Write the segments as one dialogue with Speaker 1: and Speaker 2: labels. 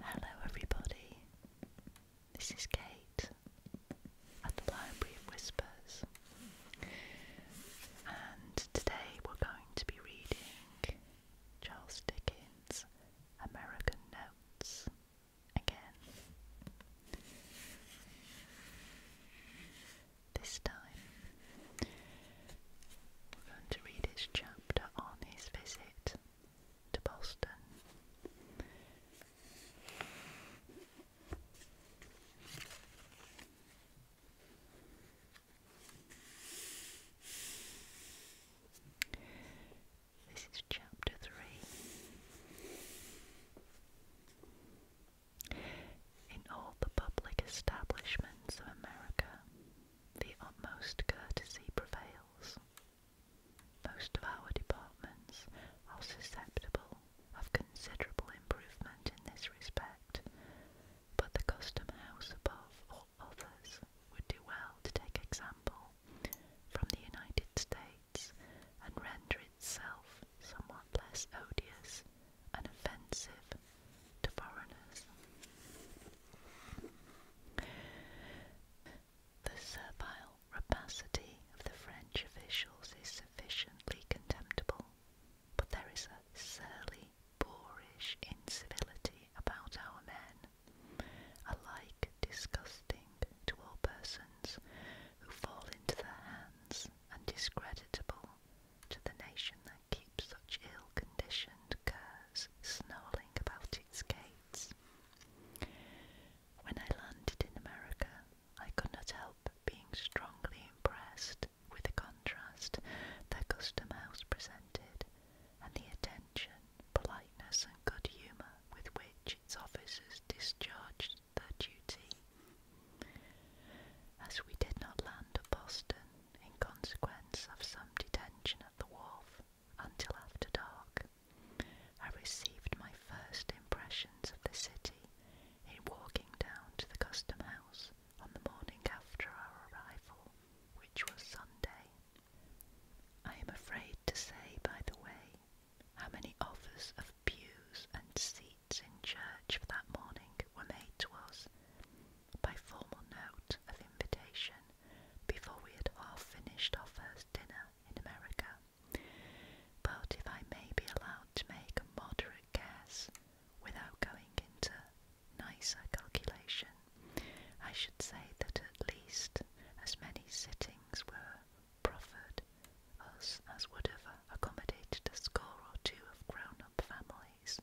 Speaker 1: Hello, everybody. This is Kate at the Library of Whispers, and today we're going to be reading Charles Dickens' American Notes again. This time, we're going to read his chapter on his visit to Boston. This is chapter three. In all the public establishments of America, the utmost courtesy prevails. Most of our departments are susceptible of considerable improvement in this respect, but the Custom House above all others would do well to take example from the United States and render itself somewhat less odious and offensive to foreigners. The servile rapacity of the French officials is sufficiently contemptible, but there is a surly, boorish incivility about our men, alike disgusting to all persons who fall into their hands and discreditable to the nation that keeps such ill-conditioned curs snarling about its gates. When I landed in America, I could not help being strongly impressed with the contrast the custom house presented and the attention, politeness, and good humour with which its officers discharged their duty. As we did not land at Boston in consequence of some detention at the wharf until after dark, I received my first impressions of the city in walking down to the custom house on the morning after our arrival, which was Sunday. I am afraid to say, by the way, how many offers of pews and seats in church for that morning were made to us by formal note of invitation before we had half finished our first dinner in America. But if I may be allowed to make a moderate guess without going into nice calculation, I should say that at least as many sittings were proffered us as would have accommodated a score or two of grown up families.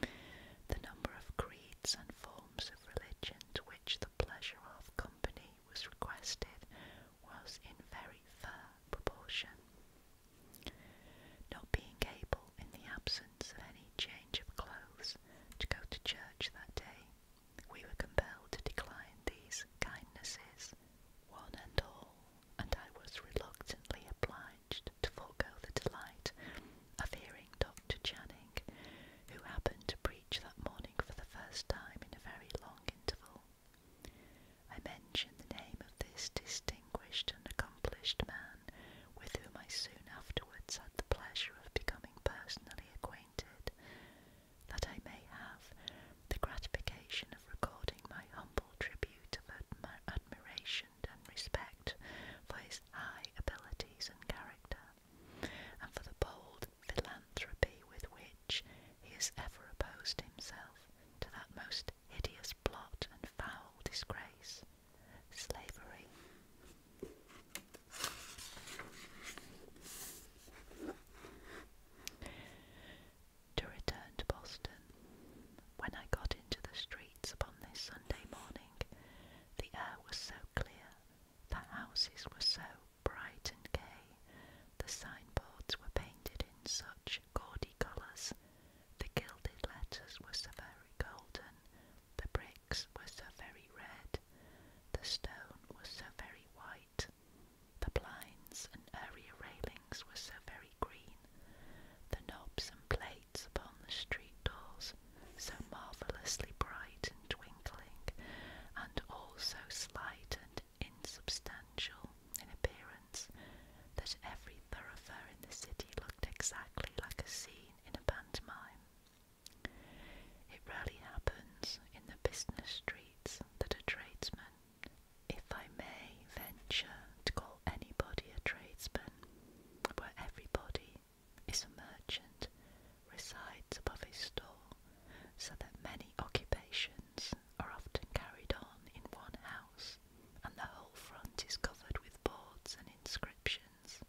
Speaker 1: The number of creeds and forms forms of religion to which the pleasure of company was requested was in very fair proportion. Not being able, in the absence of any change of clothes, to go to church that day, we were compelled to decline these kindnesses, one and all, and I was reluctantly obliged to forego the delight of hearing Dr. Channing, who happened to preach that morning for the first time in a very long interval. I mentioned the name of this distinguished and accomplished man with whom I soon afterwards had the pleasure of becoming personally acquainted, that I may have the gratification of recording my humble tribute of admiration and respect for his high abilities and character, and for the bold philanthropy with which he has ever opposed himself to that most hideous blot and foul disgrace, slavery. To return to Boston, when I got into the streets upon this Sunday morning, the air was so clear, the houses were so bright and gay, the signboards were painted in such gaudy colours, the gilded letters were so very golden, the bricks were so very red, the stone was so very white, the blinds and area railings were so very green, the knobs and plates upon the street doors so marvellously bright and twinkling, and all so slight and insubstantial in appearance, that every thoroughfare in the city looked exactly like a scene in a pantomime. It rarely happens in the business streets that a tradesman, if I may venture to call anybody a tradesman, where everybody is a merchant, resides above his store, so that many occupations are often carried on in one house, and the whole front is covered with boards and inscriptions.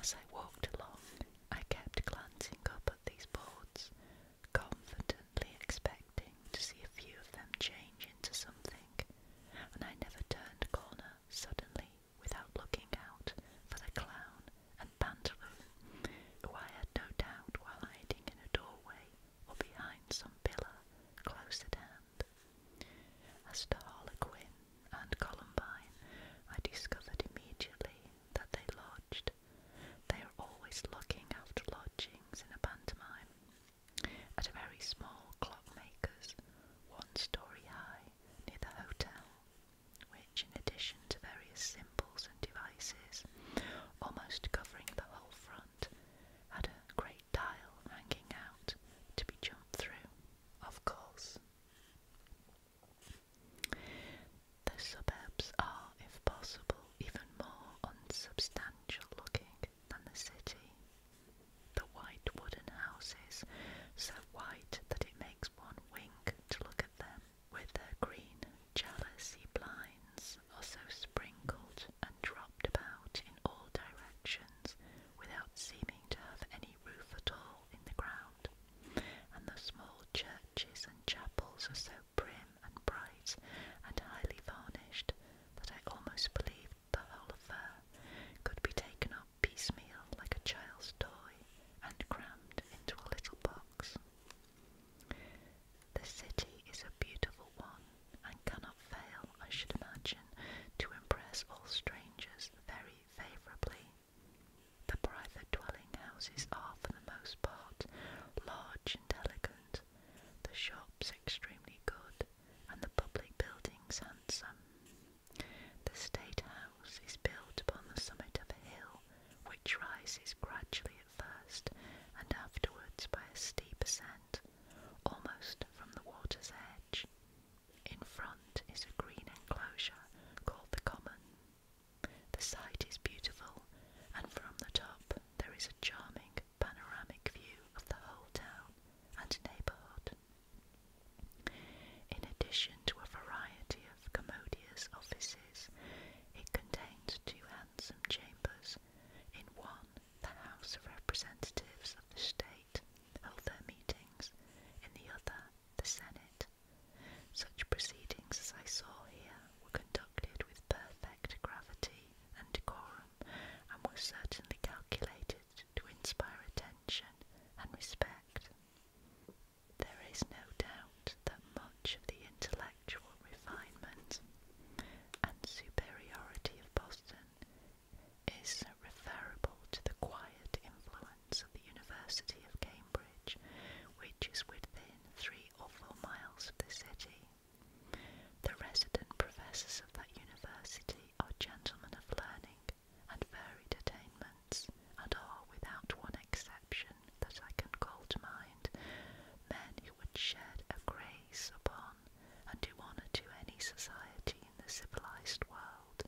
Speaker 1: As I walked along, I kept glancing up at these boards, confidently expecting to see a few of them change into something, and I never turned corner suddenly without looking out for the clown and pantaloon, who I had no doubt were hiding in a doorway or behind some pillar close at hand. As to Harlequin and Columbine, I discovered immediately that they lodged. They are always looking after lodgings in a pantomime. At a very small clockmaker's, one story high, near the hotel which, in addition to various symbols and devices, almost covering the whole front, had a great dial hanging out to be jumped through, of course. The suburbs are, if possible, even more unsubstantial looking than the city. The white wooden houses, so white that it makes one wink to look at at them with their green jealousy blinds also sprinkled and dropped about in all directions without seeming to have any roof at all in the ground, and the small churches and chapels are so prim and bright and highly varnished that I almost believed the whole affair could be taken piecemeal like a child's toy and crammed into a little box. The city is a beautiful one and cannot fail, I should imagine, to impress all strangers very favourably. The private dwelling houses are, for the most part, large and elegant, the shops extremely good, and the public buildings handsome. The State House is built upon the summit of a hill which rises gradually at first and afterwards by a steep ascent, almost from the water's edge. In front is a green enclosure called the Common. The site is beautiful, and from the top there is a charming panoramic view of the whole town and neighbourhood. In addition to a variety of commodious offices, it contained two handsome chambers. In one, the House of Representatives of the state held their meetings, in the other, the Senate. Such proceedings as I saw here were conducted with perfect gravity and decorum, and were certainly calculated to inspire attention and respect. There is no doubt that much of the intellectual refinement and superiority of Boston is referable to the quiet influence of the University of Cambridge, which is within three or four miles of the city. The resident professors of that university are gentlemen of learning and varied attainment and are without one exception that I can call to mind, men who would shed a grace upon and do honour to any society in the civilised world.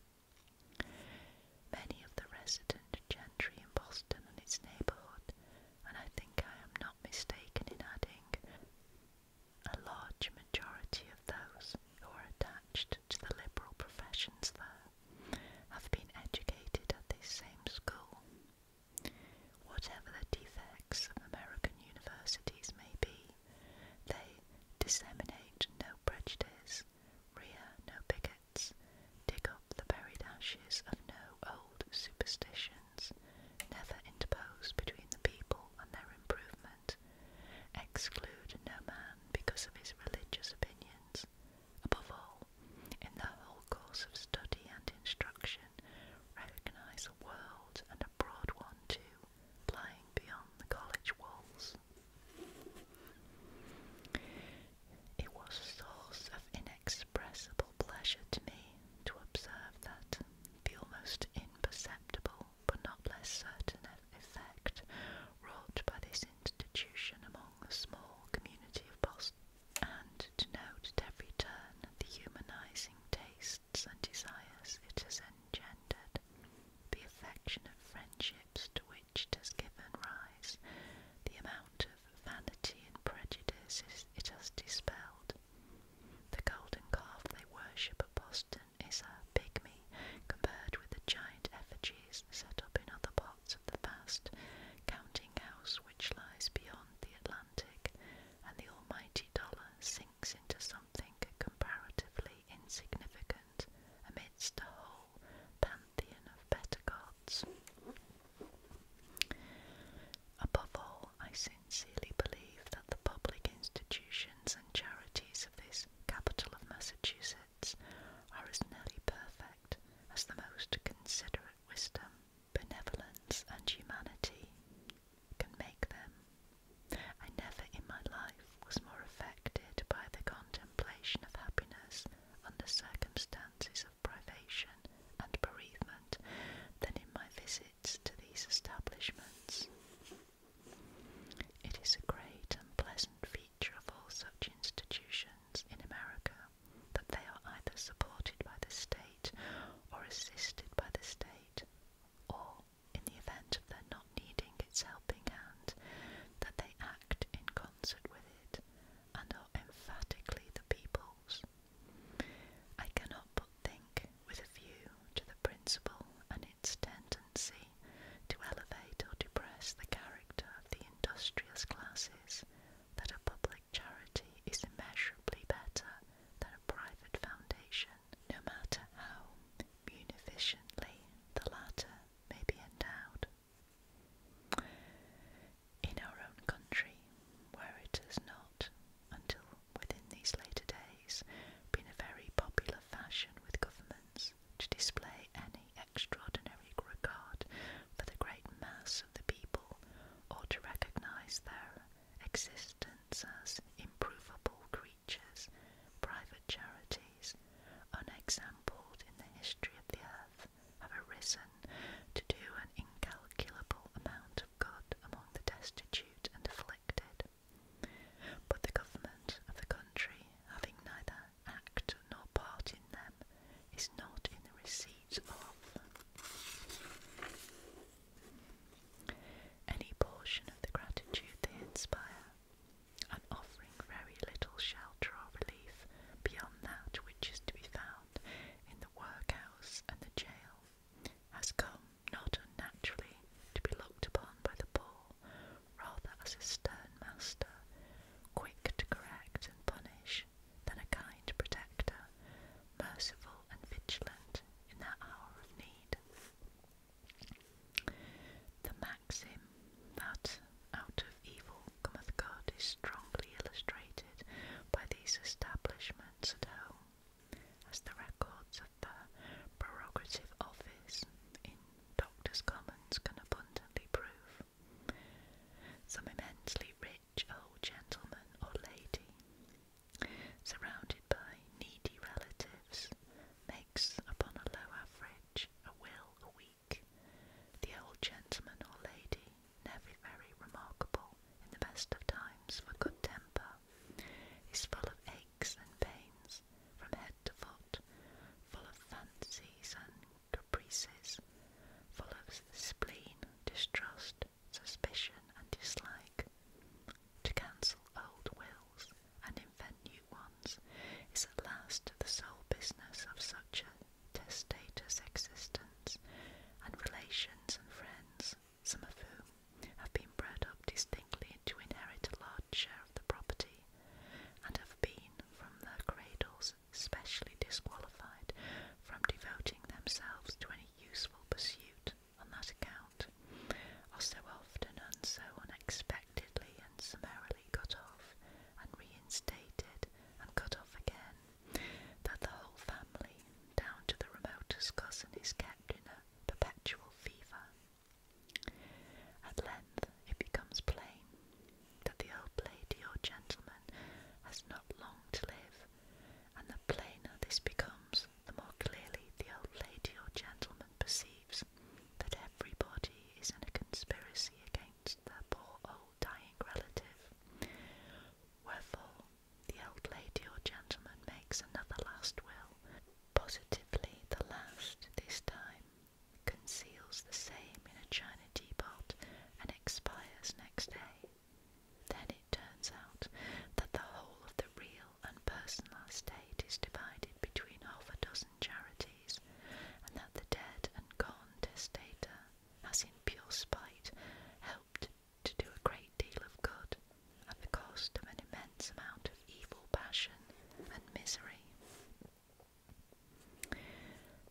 Speaker 1: Many of the resident gentry in Boston and its neighbourhood, and I think I am not mistaken in adding, a large majority of those who are attached the liberal professions, there have been educated at this same school. Whatever the defects of American universities may be, they disseminate no prejudice, rear no bigots, dig up the buried ashes of no old superstitions, never interpose between the people and their improvement, exclude no man because of his religious opinions, Above all, in their whole course of study and instruction, recognise a world and a broad one too, lying beyond the college walls. It was a source of inexpressible pleasure to me to observe that the almost imperceptible but not less certain effect wrought by this institution among the small community of Boston, and to note at every turn the humanizing tastes and desires it has engendered, the affection affectionate friendships to which it has given rise, the amount of vanity and prejudice it has dispelled. The golden calf they worship at Boston is a pygmy compared with the giant effigies set up in other parts of the vast counting house which lies beyond the Atlantic, and the almighty dollar sinks into something comparatively insignificant amidst a whole pantheon of better gods. Above all, I sincerely believe that the public institutions and charities of this capital of Massachusetts are as nearly perfect as the most considerate wisdom, benevolence, and humanity can make them. I never in my life was more affected by the contemplation of happiness under circumstances of privation and bereavement than in my visits to these establishments. It is a great and pleasant feature of all such institutions in America that they are either supported by the state or assisted by the state, or, in the event of their not needing its helping hand, that they act in concert with it and are emphatically the people's. I cannot but think, with a view to the principle and its tendency to elevate or depress the character of the industrious classes, that a public charity is immeasurably better than a private foundation, no matter how munificently the latter may be endowed. In our own country, where it has not, until within these later days, been a very popular fashion with governments to display any extraordinary regard for the great mass of the people or to recognize their existence as improvable creatures, private charities, unexampled in the history of the earth, have arisen to do an incalculable amount of good among the destitute and afflicted. But the government of the country, having neither act nor part in them, is not in the receipt of any portion of the gratitude they inspire, and offering very little shelter or relief beyond that which is to be found in the workhouse and the jail, has come not unnaturally to be looked upon by the poor, rather as a stern master, quick to correct and punish than a kind protector, merciful and vigilant in that hour of need. The maxim that out of evil cometh good is strongly illustrated by these establishments at home, as the records of the prerogative office in Doctors' Commons can abundantly prove. Some immensely rich old gentleman or lady, surrounded by needy relatives, makes upon a low average a will a week. The old gentleman or lady, never very remarkable in the best of times for good temper, is full of aches and pains from head to foot, full of fancies and caprices, full spleen, distrust, suspicion, and dislike. To cancel old wills and invent new ones is at last the sole business of such a testator's existence, and relations and friends, some of whom have been bred up distinctly to inherit a large share of the property, and have been from their cradles others, specially disqualified from devoting themselves to any useful pursuit on that account, are so often and so unexpectedly and summarily cut off and reinstated and cut off again, that the whole family, down to the remotest cousin, is kept in a perpetual fever. At length it becomes plain that the old lady or gentleman has not long to live, and the plainer this becomes, the more clearly the old lady or gentleman perceives that everybody is in a conspiracy against their poor old dying relative. Wherefore, the old lady or gentleman makes another last will, positively the last this time, conceals the same in a china a teapot and expires next day. Then it turns out that the whole of the real and personal estate is divided between half a dozen charities, and that the dead and gone testator has in pure spite helped to do a great deal of good at the cost of an immense amount of evil passion and misery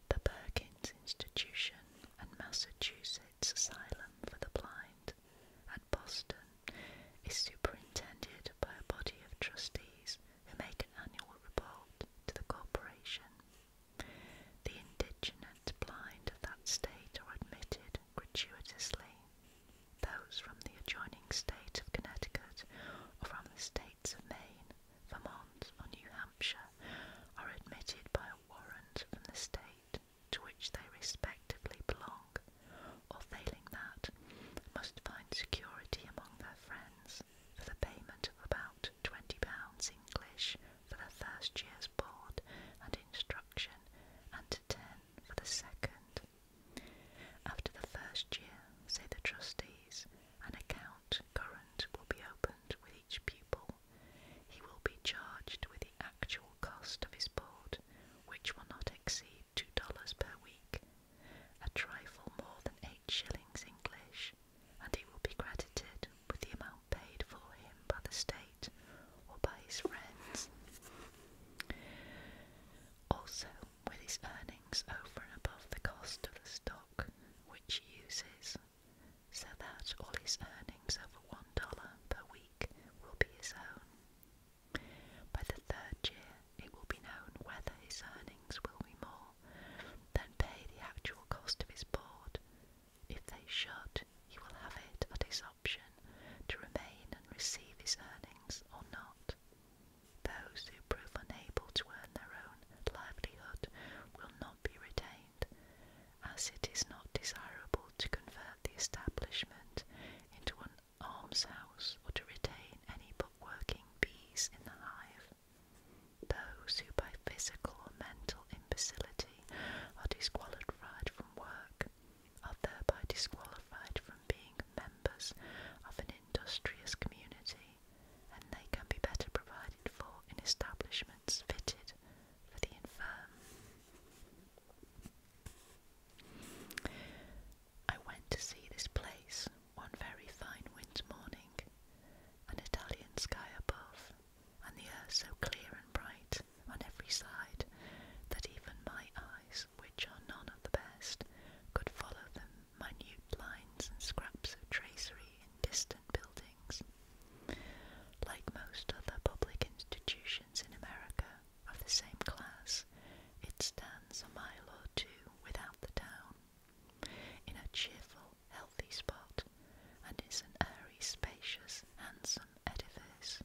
Speaker 1: the Perkins Institution and Massachusetts Asylum for the Blind at Boston is superintended by a body of trustees who make an annual report to the corporation. The indigent blind of that state are admitted gratuitously. Those from the adjoining state of Connecticut or from the states of Maine Vermont, or New Hampshire are admitted by a warrant from the state to which they respectively belong, or failing that, must find security among their friends for the payment of about £20 English for the first year's board and instruction, and 10 for the second. After the first year, say the trustees, an account current will be opened with each pupil he will be charged with the actual cost of his board, which will not exceed two dollars per week, a trifle more than eight shillings English, and he will be credited with the amount paid for him by the state or by his friends. Also, with his earnings over and above the cost of the stock which he uses, so that all his earnings over one dollar per week will be his own. By the third year, it will be known whether his earnings will be more than pay the actual cost of his board. If they should, he will have it at his option to remain and receive his earnings or not. Those who prove unable to earn their own livelihood will not be retained, as it is not desirable to convert the establishment into an almshouse or to retain any but working bees in the hive. Those who by physical or mental imbecility are disqualified from work are thereby disqualified from being members of an industrious community, and they can be better provided for in establishments fitted for the infirm. I went to see this place one very fine winter morning, an Italian sky above, and the air so clear and bright on every side that even my eyes, which are none of the best, could follow the minute lines and scraps of tracery in distant and buildings. Like most other public institutions in America of the same class, it stands a mile or two without the town, in a cheerful, healthy spot, and is an airy, spacious, handsome edifice.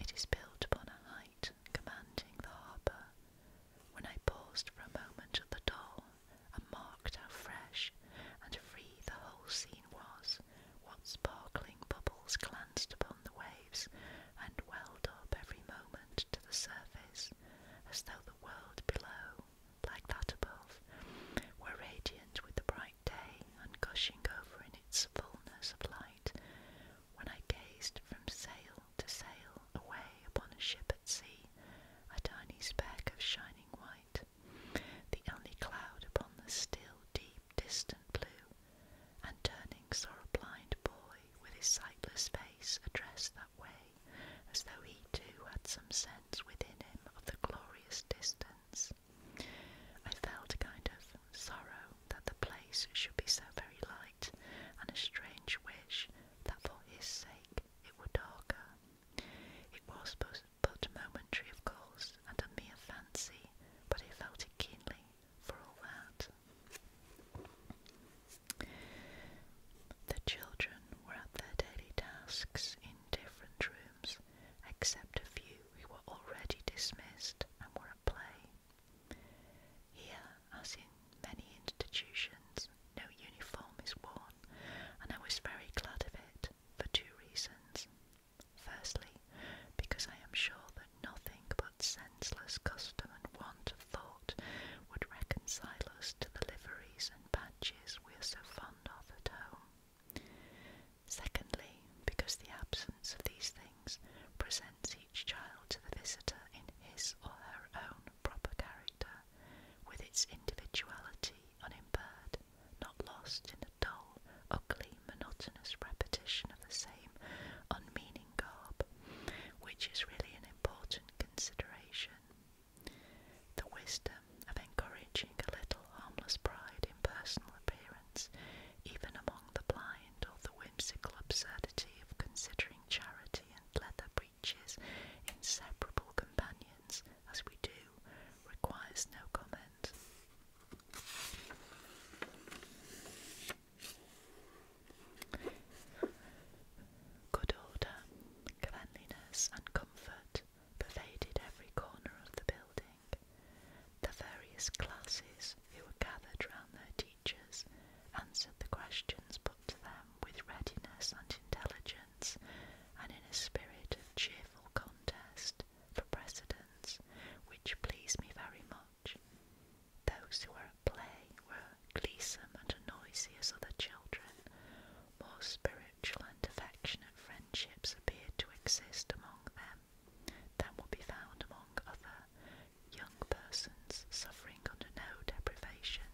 Speaker 1: It is built upon a height commanding the harbour. When I paused for a moment at the door and marked how fresh and free the whole scene was, what sparkling bubbles glanced upon the waves and welled up every moment to the surface, as though the world below, like that above, were radiant with the bright day and gushing over in its fullness of light. When I gazed from sail to sail away upon a ship at sea, a tiny speck of shining white, the only cloud upon the still, deep, distant blue, and turning saw a blind boy with his sightless face addressed that way, as though he too had some sense within him of the glorious distance. I felt a kind of sorrow that the place should be so very light, and a strange wish that for his sake it were darker. It was but, but momentary, of course, and a mere fancy, but he felt it keenly for all that. The children were at their daily tasks in different rooms, except a few who were already dismissed and were at play. Here, as in many institutions, no uniform is worn, and I was very glad of it, for two reasons. Firstly, because I am sure that nothing but senseless custom and want of thought would reconcile us to the liveries and badges we are so fond of at home. Secondly, because the absence of these things presents each child to the visitor in his or her own proper character, with its individuality unimpaired, not lost in a dull, ugly, monotonous repetition of the same unmeaning garb, which is really an important consideration. The wisdom of encouraging a little harmless pride in personal appearance, even among the blind, or the whimsical absurdity of considering charity and leather breeches inseparable companions, as we do, requires no comment. Good order, cleanliness, and comfort pervaded every corner of the building. The various classes who were gathered round their teachers answered the questions put to them with readiness and intelligence and in a spirit of cheerful contest for precedence, which pleased me very much. Those who were at play were gleesome and noisy as other children. More spiritual and affectionate friendships appeared to exist among them than would be found among other young persons suffering under no deprivation.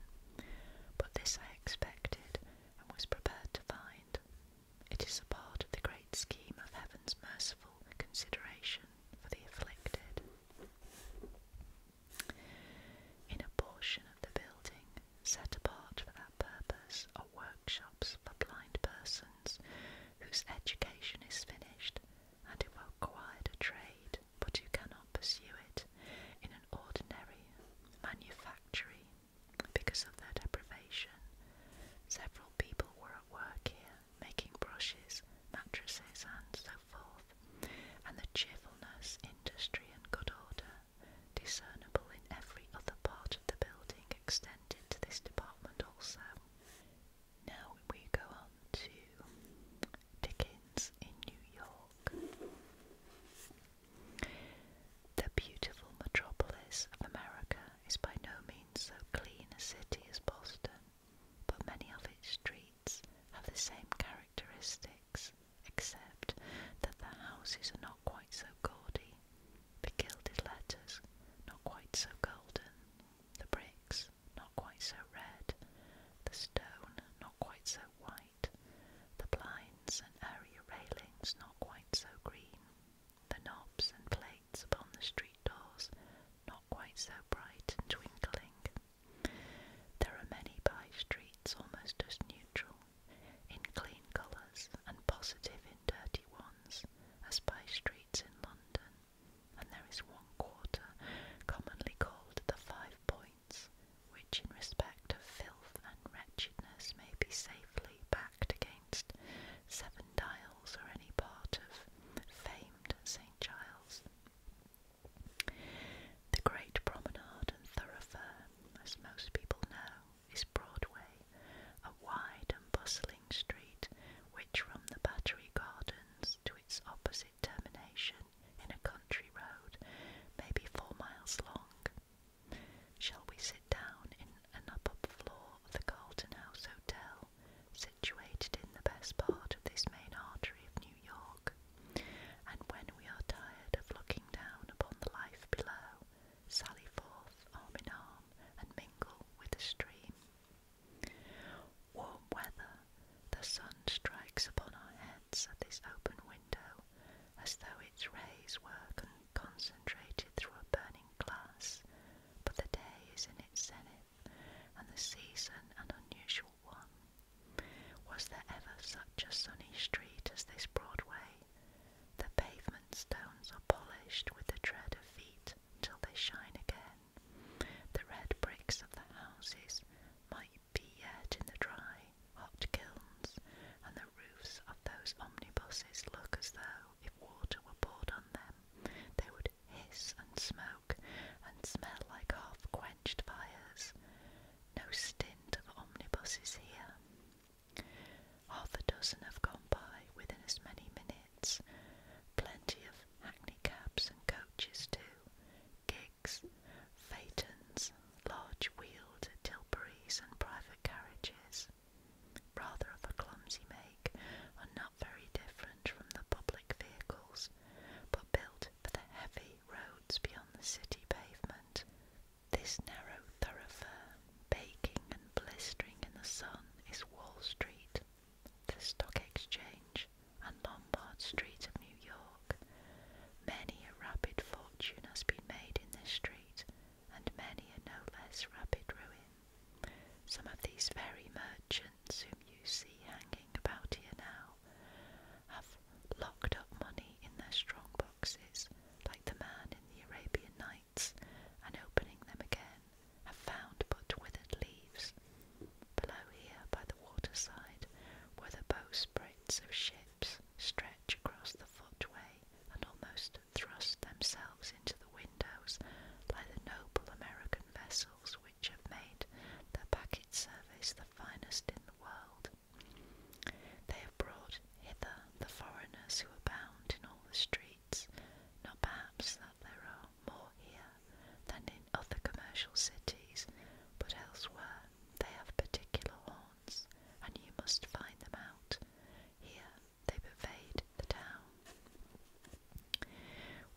Speaker 1: But this I expected and was prepared to find. It is a part of the great scheme of heaven's merciful consideration for the afflicted. In a portion of the building set apart for that purpose are workshops for blind persons whose education is finished and who have acquired a trade but who cannot pursue it in an ordinary manufactory because of their deprivation, several people were at work here, making brushes, mattresses, and so forth, and the cheerfulness, industry, and good order discernible in every other part of the building extended to this department also. Now we go on to Dickens in New York. The beautiful metropolis of America is by no means so clean a city as Boston, but many of its streets have the same characteristics, except that the houses are not quite so gaudy, the gilded letters not quite so golden, the bricks not quite so red, the stone not quite so white, the blinds and area railings not quite so green the knobs and plates upon the street doors not quite so bright and twinkling. There are many by streets almost as neutral in clean colours and positive in dirty ones as by streets in London, and there is one quarter commonly called the Five Points, which in respect of filth and wretchedness may be safely backed against Seven Dials or any part of famed St. Giles. The great promenade and thoroughfare, as most people know, is Broadway, a wide and bustling street which from the Battery Gardens to its opposite termination in a country road may be four miles long Shall we sit down in an upper floor of the Carlton House Hotel, situated in the best part of this main artery of New York? And when we are tired of looking down upon the life below, sally forth arm in arm and mingle with the stream. Warm weather, the sun strikes upon our heads at this open window as though its rays were concentrated through a burning glass, but the day is in its zenith, and the season an unusual one. Was there ever such a sunny street as this Broadway? The pavement stones are polished with the tread of feet till they shine again. The red bricks of the houses might be yet in the dry, hot kilns, and the roofs of those omnibuses look as though if water were poured on them, they would hiss and smoke and smell like half quenched fires. No stint of omnibuses here. Half a dozen have gone by within as many minutes. Plenty of hackney cabs and coaches too, gigs, phaetons, large wheeled tilburys and private carriages rather of a clumsy make, and not very different from the public vehicles, but built for the heavy roads beyond the city pavement. This narrow thoroughfare, baking and blistering in the sun, is Wall Street, the Stock Exchange, and Lombard Street of New York. Many a rapid fortune has been made in this street, and many a no less rapid ruin. Some of these very merchants whom you see hanging about here now have locked up money in their strong boxes, like the man in the Arabian Nights, and opening them again, have found but withered leaves. Below here, by the waterside, where the bowsprits of ships stretch across the footway and almost thrust themselves into the windows by the noble American vessels which have made their packet service the finest in the world. They have brought hither the foreigners who abound in all the streets, not perhaps that there are more here than in other commercial cities, but elsewhere they have particular haunts, and you must find them out. Here they pervade the town.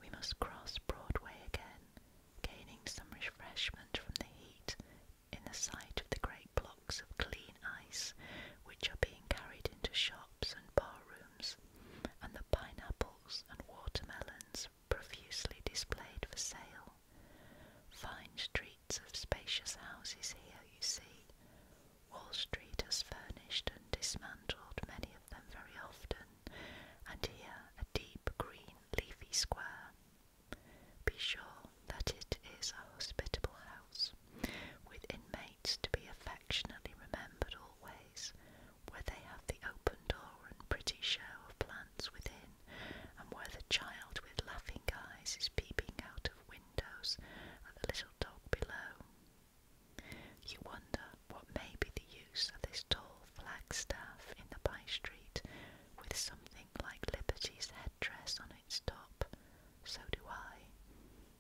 Speaker 1: We must cross Broadway again, gaining some refreshment from the heat in the sight of the great blocks of clean ice which are being carried into shops and bar rooms, and the pineapples and watermelons profusely displayed for sale. Fine streets of spacious houses here, you see, Wall Street has furnished and dismantled many of them very often, and here a deep green leafy square. Be sure that it is a hospitable house, with inmates to be affectionately remembered always, where they have the open door and pretty show of plants within, and where the child with laughing eyes is peeping out of windows at the little dog below. You wonder what may be the use of this tall flagstaff in the by street with something like Liberty's headdress on its top. So do I.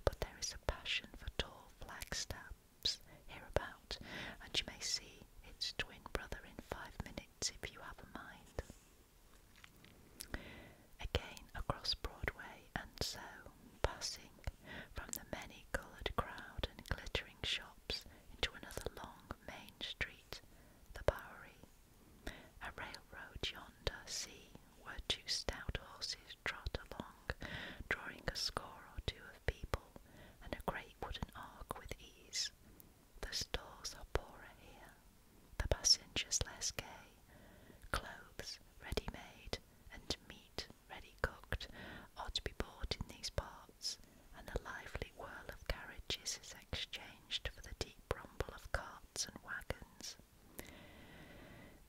Speaker 1: But there is a passion for tall flagstaffs hereabout, and you may see its twin brother in five minutes if you have a mind again across Broadway, and so, passing from the many coloured crowd and glittering shops into another long main street, the Bowery. A railroad yonder, see, where two stout horses trot along, drawing a score or two of people, and a great wooden ark with ease. The stores are poorer here, the passengers less gay, Clothes ready made and meat ready cooked are to be bought in these parts, and the lively whirl of carriages is exchanged for the deep rumble of carts and wagons.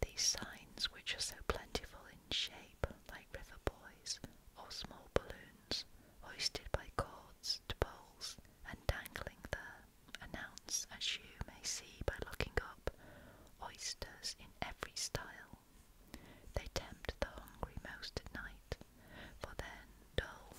Speaker 1: These signs, which are so plentiful in shape, like river buoys or small balloons, hoisted by cords to poles and dangling there, announce, as you may see by looking up oysters in every style. They tempt the hungry most at night, for then dull.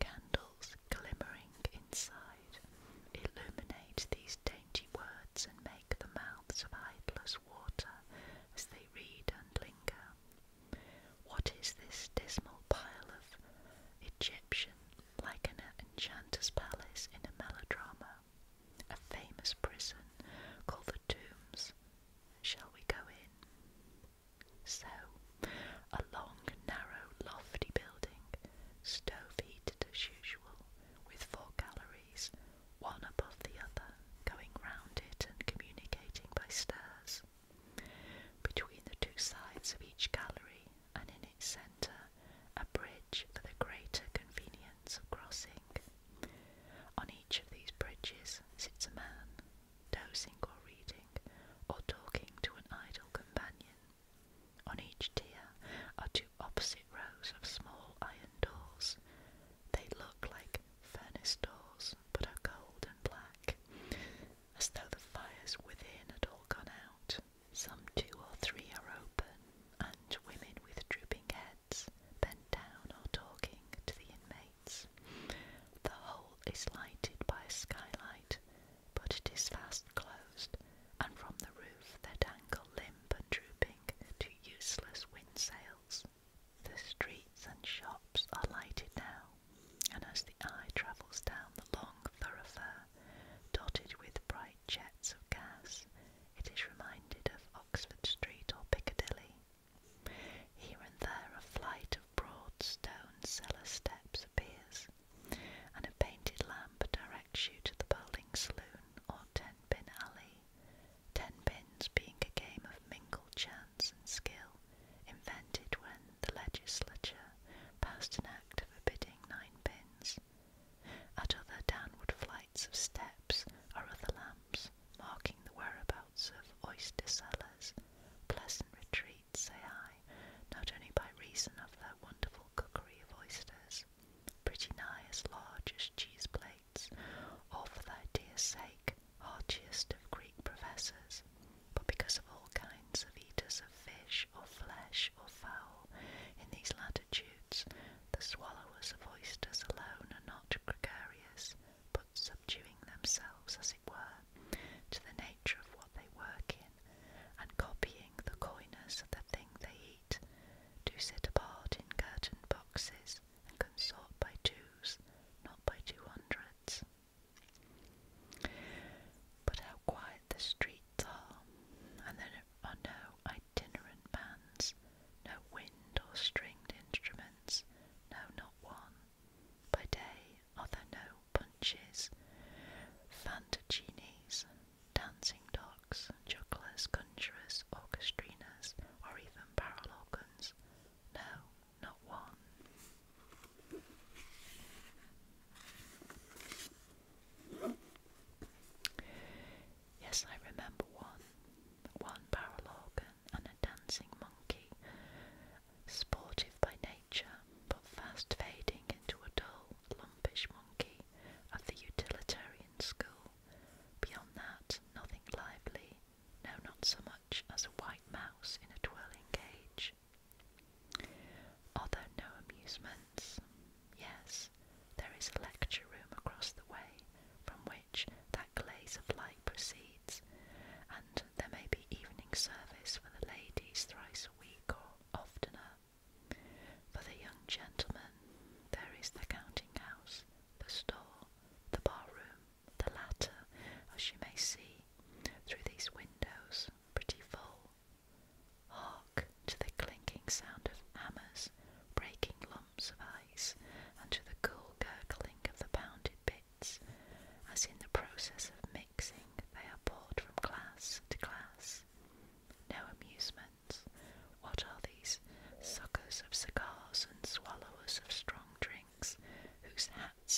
Speaker 1: Candles glimmering inside illuminate these dainty words and make the mouths of idlers water as they read and linger. What is this dismal pile of Egyptian, like an enchanter's palace in a melodrama? A famous prison called the Tombs. Shall we go in? So, a long, narrow, lofty building, stove heated as usual, with four galleries, one above the other, going round it and communicating by stairs. Between the two sides of each gallery and in its centre, a bridge for the greater convenience of crossing. On each of these bridges sits a man, dozing or reading, or talking to an idle companion. On each tier are two opposite rows of small iron doors. They look like furnace doors but are cold and black, as though the fires within had all gone out. Some two or three are open, and women with drooping heads bent down or talking to the inmates. The whole is lighted by a skylight, but it is fast closed, and from the roof there dangle limp and drooping to useless windsails. The streets and shops are lighted now, and as the eye travels down the long thoroughfare, dotted with bright jets of gas, it is reminded of Oxford Street or Piccadilly. Here and there a flight of broad stone cellar steps appears, and a painted lamp directs you to the bowling saloon or ten pin alley, ten pins being a game of mingled chance and skill invented when the legislature passed an act forbidding ninepins. At other downward flights of steps or other lamps marking the whereabouts of oyster cellars. Pleasant retreats, say I, not only by reason of their wonderful cookery of oysters, pretty nigh as large as cheese plates, or for their dear sake archiest of Greek professors, but because of all kinds of eaters of fish or flesh or fowl in these latitudes, the swallowers of oysters alone are not gregarious, but subduing themselves, as it were, to the nature of what they work in, and copying the coiners of the thing they eat, do sit apart in curtained boxes and consort by twos, not by two hundreds. But how quiet the streets are, and there are no itinerant bands, no wind or stringed instruments, no, not one. By day are there no punches, fantaginis, dancing dogs, jugglers, conjurers, orchestriners, or even barrel organs. No, not one. Yes, I remember one. One barrel organ and a dancing monkey, sportive by nature, but fast fading into a dull, lumpish monkey of the utilitarian school. Beyond that, nothing lively, no, not so much as a white mouse in a twirling cage. Are no amusements? Yes, there is a lecture room across the way from which that glaze of light proceeds, and there may be evening service for the ladies thrice a week or oftener. For the young gentlemen, there is the counting house, the store, the bar room, the latter, as you may see, through these windows, pretty full. Hark to the clinking sound of hammers breaking lumps of ice, and to the cool gurgling of the pounded bits, as in the process of mixing they are poured from glass to glass. No amusement. What are these suckers of cigars and swallowers of strong drinks, whose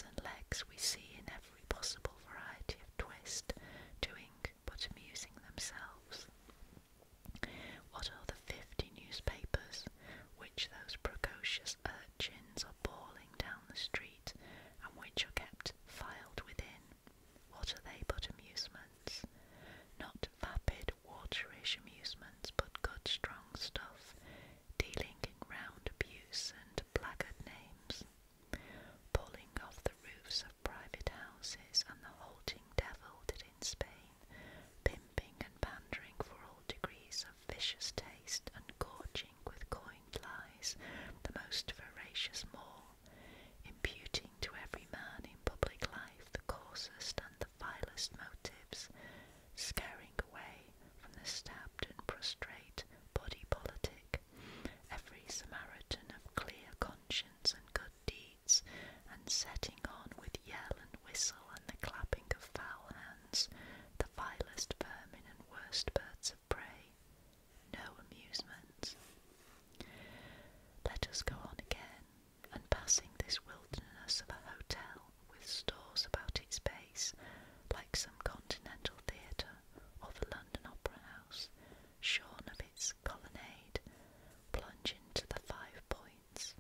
Speaker 1: and legs we see in every possible variety of twist, doing but amusing themselves. What are the fifty newspapers which those precocious urchins are bawling down the street and which are kept filed within? What are they but amusements? Not vapid, waterish amusements, but good strong stuff, dealing in round abuse and blackguard names, pulling off the roofs of private houses and the halting devil did in Spain, pimping and pandering for all degrees of vicious taste and gorging with coined lies the most voracious maw, imputing to every man in public life the coarsest and the vilest motives, scaring away from the stabbed and prostrate body politic every Samaritan of clear conscience and good deeds, and setting on with yell and whistle and the clapping of foul hands the vilest vermin and worst birds of prey. No amusement. Let us go on again, and passing this wilderness of a hotel with stores about its base, like some continental theatre or the London Opera House, shorn of its colonnade, plunge into the Five Points.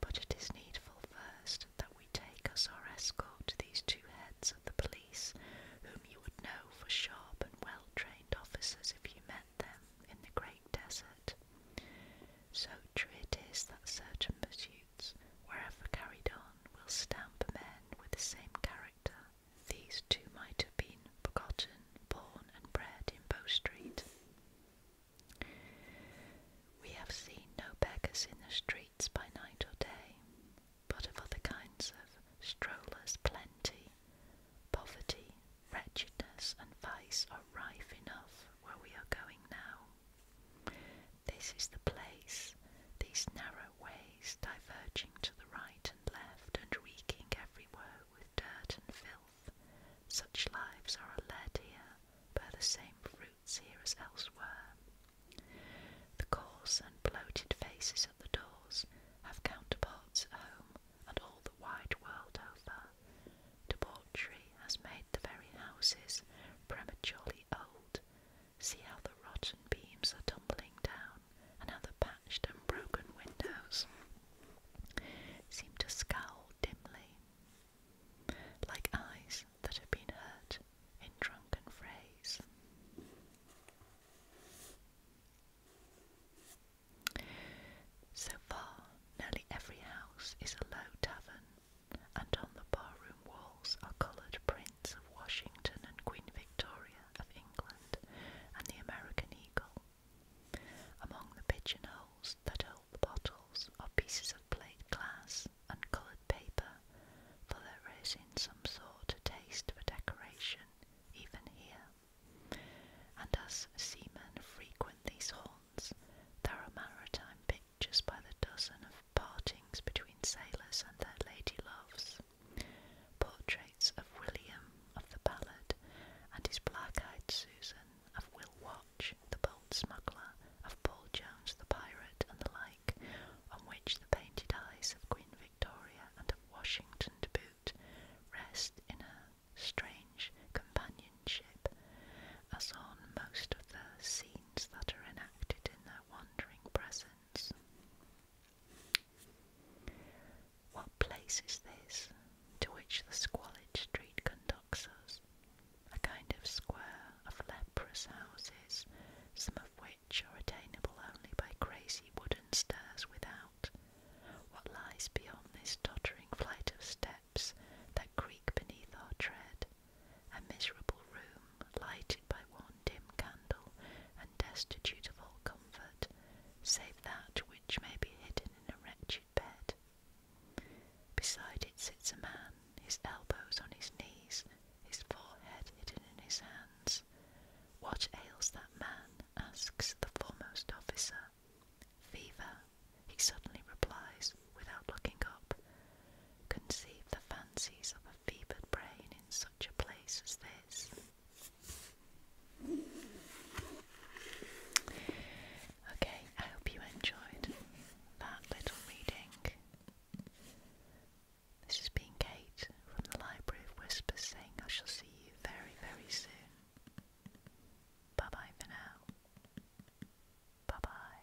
Speaker 1: But it is needful first that we take as our escort these two heads of the police, whom you would know for sharp and well trained officers if you met them in the great desert. So true it is that certain pursuits wherever carried on, will stamp men with the same character. These two might have been begotten, born, and bred in Bow Street. We have seen no beggars in the streets by night or day, but of other kinds of strollers plenty. Poverty, wretchedness, and vice are rife enough where we are going now. This is the place, these narrow ways diverging to the right and left and reeking everywhere with dirt and filth. Such lives are led here, bear the same fruits here as elsewhere. The coarse and bloated faces at the doors have counterparts at home and all the wide world over. Debauchery has made the very houses prematurely old, See how the rotten beams are tumbling down, and how the patched and broken windows seem to scowl dimly, like eyes that have been hurt in drunken phrase. So far, nearly every house is a low tavern and on the barroom walls are coloured prints of Washington and Queen Victoria of England and the American eagle. Among the pigeonholes that hold the bottles are pieces of plate glass and coloured paper, for there is in some sort a taste for decoration even here. And as seamen frequent these haunts, there are maritime pictures just by the dozen of partings between sailors and their lady loves, portraits of William of the ballad and his black-eyed Susan, of Will Watch, the bold smuggler, of Paul Jones the pirate, and the like, on which the painted eyes of Queen Victoria and of Washington to boot rest in a strange companionship, as on most of the scenes that are enacted in their wandering present. What place is this to which the squalid street conducts us? A kind of square of leprous houses, some of which are attainable only by crazy wooden stairs without. What lies beyond this tottering flight of steps that creak beneath our tread? a miserable room lighted by one dim candle and destitute of all comfort, save that which may be hidden in a wretched bed. Beside it sits a man, his elbows on his knees, his forehead hidden in his hands. What ails that man? asks the foremost officer. Fever, he suddenly replies, without looking up, conceive the fancies of a fevered brain in such a place as this? Okay, I hope you enjoyed that little reading. This has been Kate from the Library of Whispers saying I shall see you very, very soon. Bye bye for now. Bye bye.